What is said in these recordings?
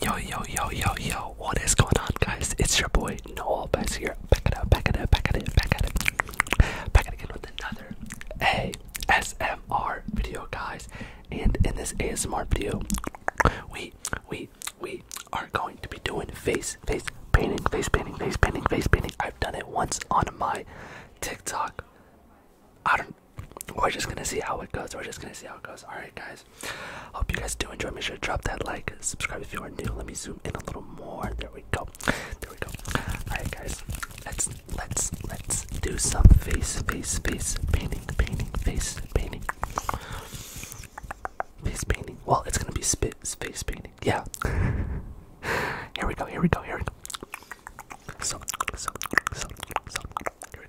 Yo yo yo yo yo! What is going on, guys? It's your boy Noel Bass here. Back it up, back it up, back it up, back it up, back it again with another ASMR video, guys. And in this ASMR video, we we we are going to be doing face face painting, face painting, face painting, face painting. I've done it once on my TikTok. I don't we're just gonna see how it goes. We're just gonna see how it goes. Alright, guys. Hope you guys do enjoy. Make sure to drop that like, subscribe if you are new. Let me zoom in a little more. There we go. There we go. Alright, guys. Let's let's let's do some face face face painting painting face painting face painting. Well, it's gonna be spit face painting. Yeah. here we go. Here we go. Here we go. So so so so. Here we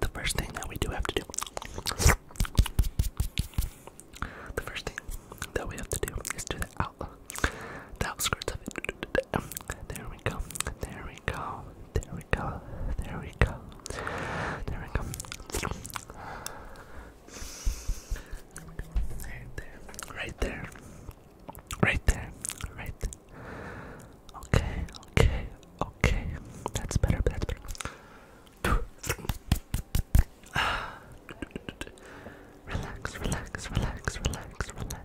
the first thing that we do have to do. The first thing that we have to do is do the out the outskirts of it. There we go. There we go. There we go. There we go. There we go. Right there. Right there. Right there. Right there. Okay, okay, okay. That's better, that's better. relax, relax, relax, relax, relax. Relax.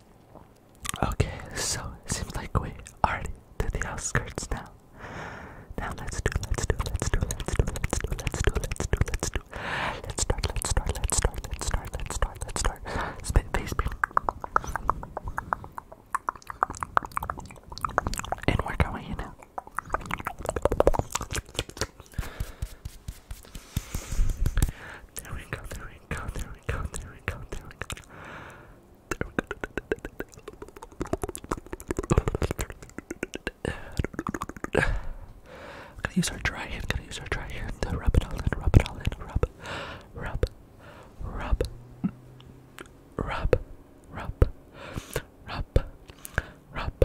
Okay, so it seems like we already to the outskirts now. Now let's do, let's do, let's do, let's do, let's do, let's do, let's do, let's do. Let's start, let's start, let's start, let's start, let's start, let's start. Spit face beam. And we're going in now. There we go, there we go, there we go, there we go, there we go. There we go. I'm gonna use our dry hand, I'm gonna use our dry hand to rub it all in, rub it all in, rub, rub, rub, rub, rub, rub, rub,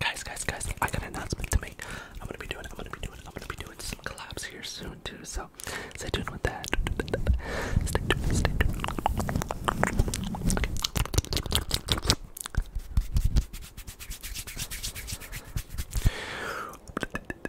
Guys, guys, guys, I got an announcement to make. I'm gonna be doing, I'm gonna be doing, I'm gonna be doing some collabs here soon too, so stay tuned with that. Stay tuned, stay tuned.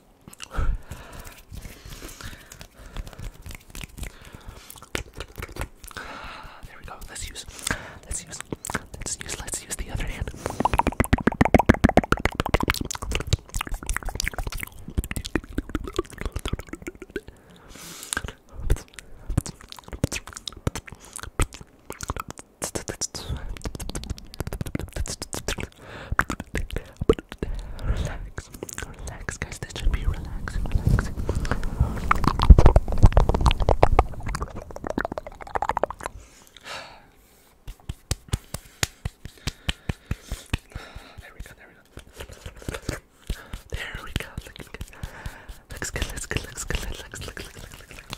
There we go. Let's use. Let's use. Let's use. Let's use the other hand. Relax, relax, guys. This should be relaxing, relaxing. There we go, there we go. There we go. Looks good, looks good, looks good, looks good, looks good, looks good, looks good,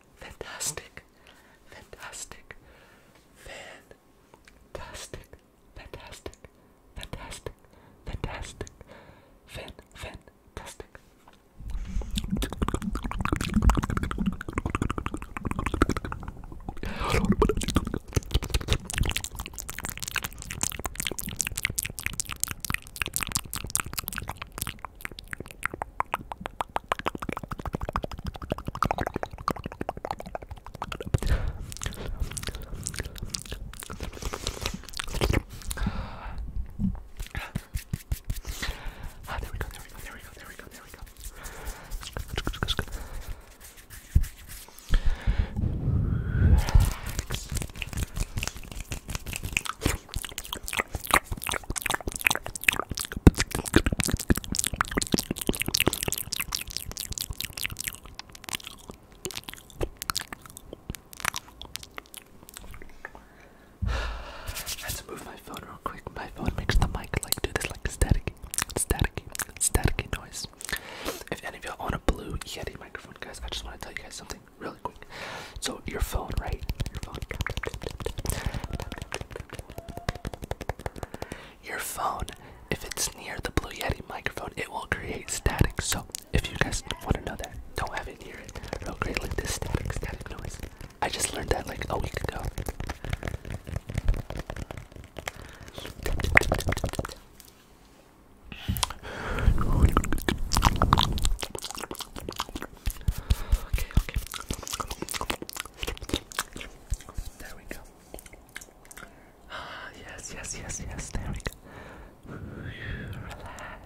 fantastic, fantastic, fantastic, fantastic, fantastic, fantastic, fan, fantastic. Ah, there we go, there we go, there we go, there we go, there we go. Relax. Let's move my phone real quick. My phone makes the mic like do this like static, static, static noise. If any of y'all want a blue Yeti microphone, guys, I just want to tell you guys something really quick. So your phone, right? Your phone. if it's near the Blue Yeti microphone, it will create static. So if you guys want to know that, don't have it near it. Real will create like this static, static noise. I just learned that like a week ago. Okay, okay. There we go. Ah, yes, yes, yes, yes. There we go. Relax.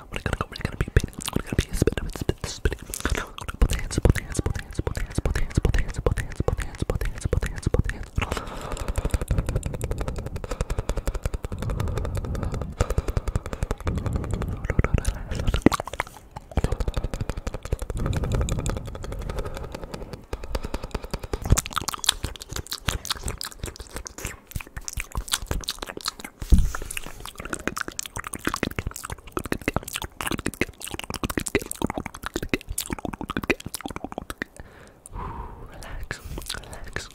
I'm gonna go, we're gonna be painting, we're gonna be spinning, spinning, spinning. Both hands, both hands, both hands, both hands, both hands, both hands, both hands, both hands, both hands, both hands, both hands. Relax, relax, relax,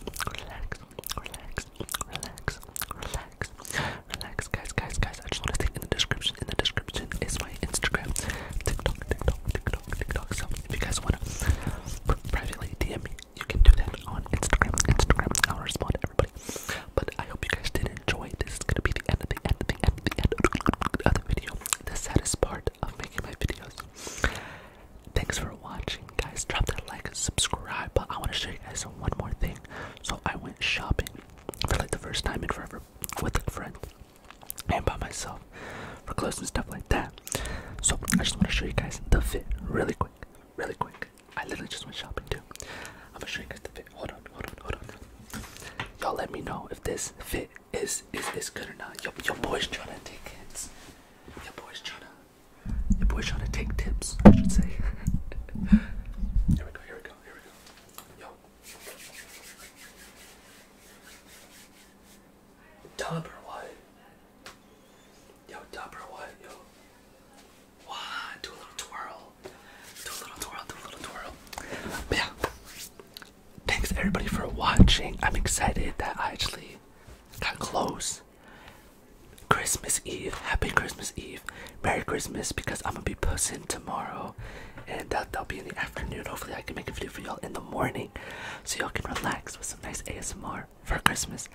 relax, relax, relax, relax, guys, guys, guys. I just want to say in the description, in the description is my Instagram, TikTok, TikTok, TikTok, TikTok. So if you guys wanna privately DM me you can do that on Instagram. Instagram, i respond to everybody. But I hope you guys did enjoy. This is gonna be the end of the end of the end of the end video. The saddest part of making my videos. Thanks for watching, guys. Drop that like and subscribe. But I want to show you guys one more thing. So I went shopping for like the first time in forever with a friend and by myself for clothes and stuff like that. So I just want to show you guys the fit really quick really quick. I literally just went shopping too. I'm gonna show you guys the fit. Hold on, hold on, hold on. Y'all let me know if this fit is is this good or not. Your your boy's trying to take hits. Your boy's trying to your boy's trying take tips. I should say. here we go. Here we go. Here we go. Yo. Tupperware. Yo, Tupperware, yo. Wow, do a little twirl. Do a little twirl, do a little twirl. But yeah. Thanks everybody for watching. I'm excited that I actually got close. Christmas Eve. Happy Christmas Eve. Merry Christmas because I'm gonna be pussing tomorrow. And that'll be in the afternoon. Hopefully I can make a video for y'all in the morning so y'all can relax with some nice ASMR for Christmas.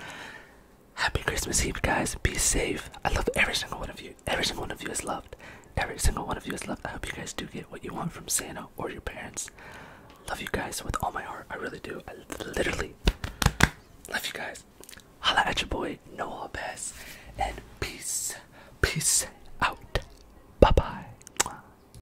Happy Christmas Eve, guys. Be safe. I love every single one of you. Every single one of you is loved. Every single one of you is loved. I hope you guys do get what you want from Santa or your parents. Love you guys with all my heart. I really do. I literally love you guys. Holla at your boy, Noah Bass. And peace. Peace out. Bye bye.